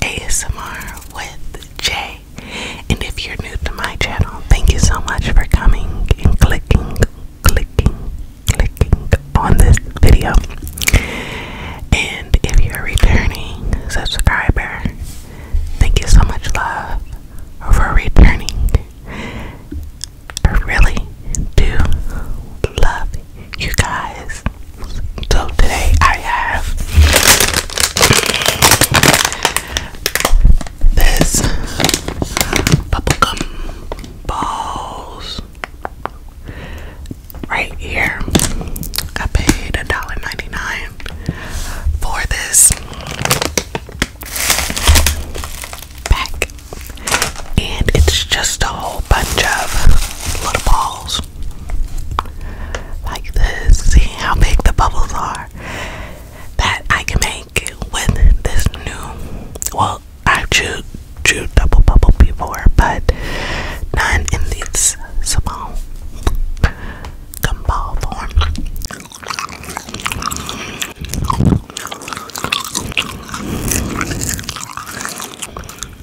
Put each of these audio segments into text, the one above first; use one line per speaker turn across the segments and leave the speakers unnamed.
ASMR with Jay. And if you're new to my channel, thank you so much for coming and clicking, clicking, clicking on this video. And if you're a returning subscriber, thank you so much, love, for returning. I really do love you guys. So today I have this bubblegum balls right here. I paid $1.99 for this pack and it's just a bunch of little balls like this. See how big the bubbles are that I can make with this new. Well, I chewed, chewed double bubble before, but none in this small gumball form.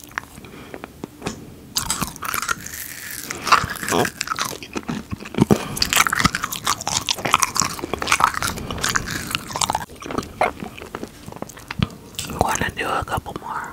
i to do a couple more.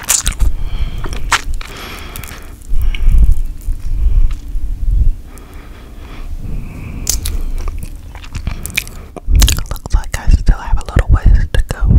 Looks like I still have a little ways to go.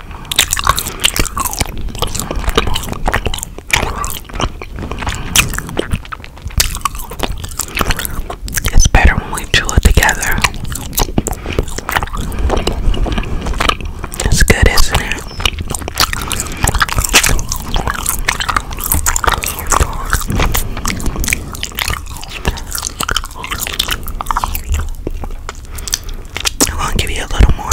It's better when we chew it together. It's good, isn't it? I'm gonna give you a little more.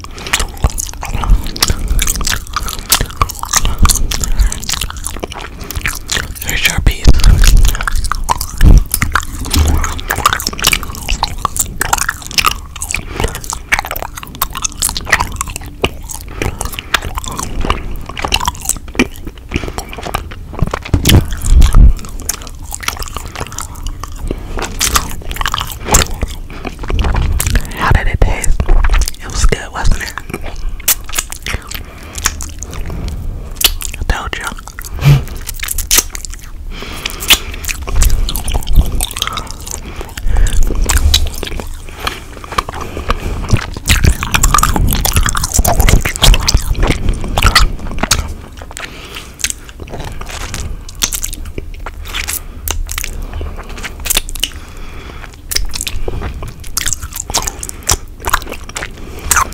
Here's your piece.
How did it taste? It was good, wasn't it? I told you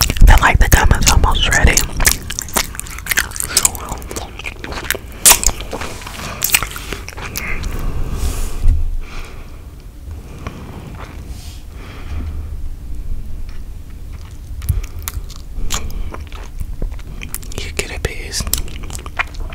feel like the gum is almost ready. You get a piece.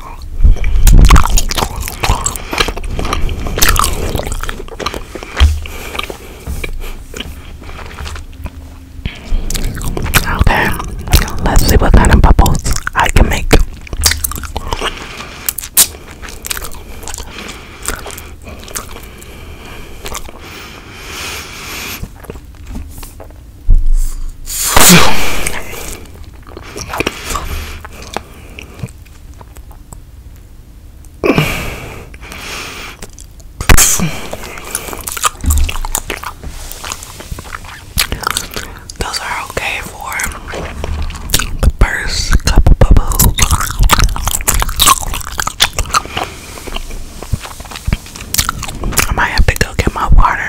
Okay, let's see what kind of bubbles I can make.
Those are okay for the first couple bubbles. I might have to go get my water.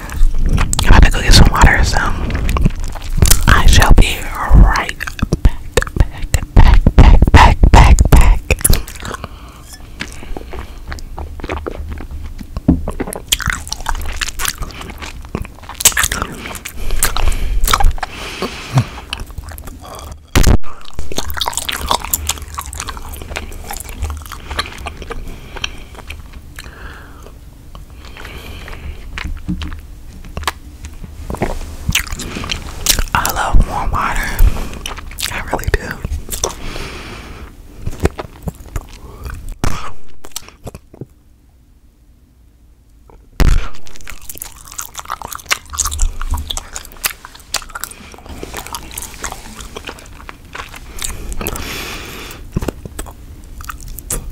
I'm about to go get some water, so I shall be right back, back, back, back, back, back, back. I love warm water. I really do.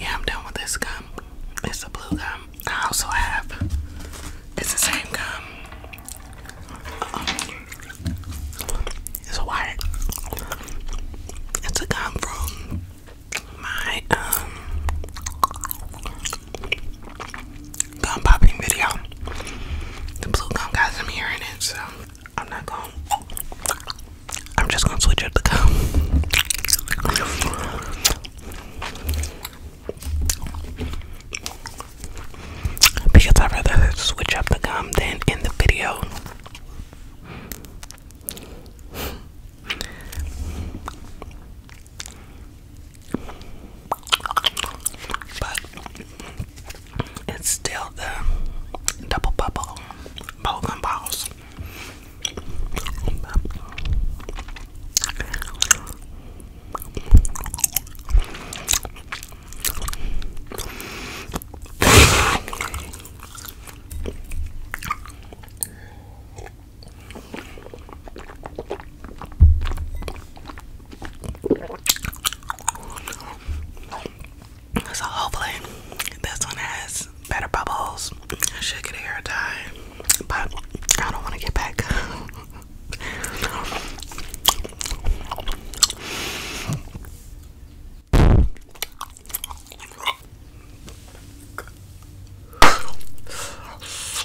Yeah, I'm done with this gum. It's a blue gum. I also have it's the same gum. it's a white. It's a gum from my um gum popping video. The blue gum guys, I'm hearing it, so I'm not going. I'm just gonna switch up the gum. Because i rather switch up the gum than in the video. But it's still the double bubble bowling balls. So hopefully this one has better bubbles. I should get a hair dye, but I don't want to get back.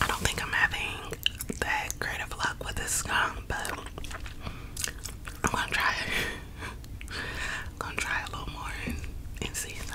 I don't think I'm having that great of luck with this gum, but I'm gonna try it. gonna try a little more and, and see so.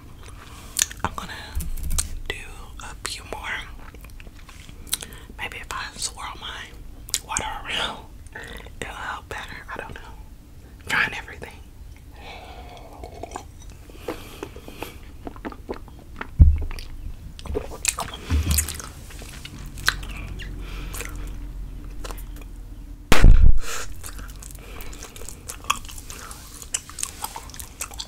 I'm gonna do a few more. Maybe if I swirl my water around, it'll help better. I don't know. trying everything.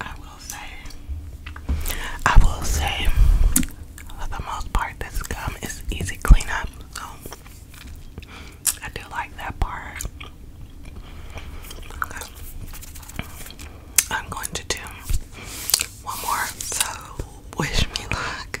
I will say, I will say, for the most part, this gum is easy cleanup, so I do like that part. Okay. I'm going to do one more, so wish me luck.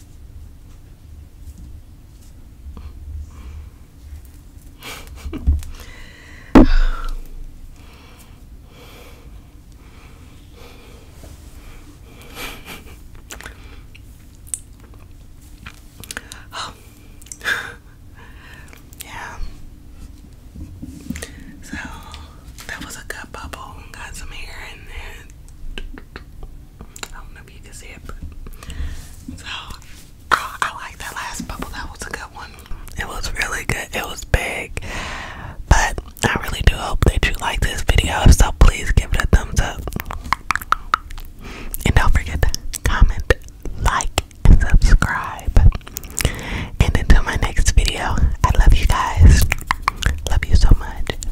oh. yeah. So that was a good bubble. Got some hair in it. I don't know if you can see it, but so I like that last bubble. That was a good one. It was really good. It was big, but I really do hope that you like this video. so, please give it a thumbs up, and don't forget to comment, like, and subscribe. And until my next video, I love you guys. Love you so much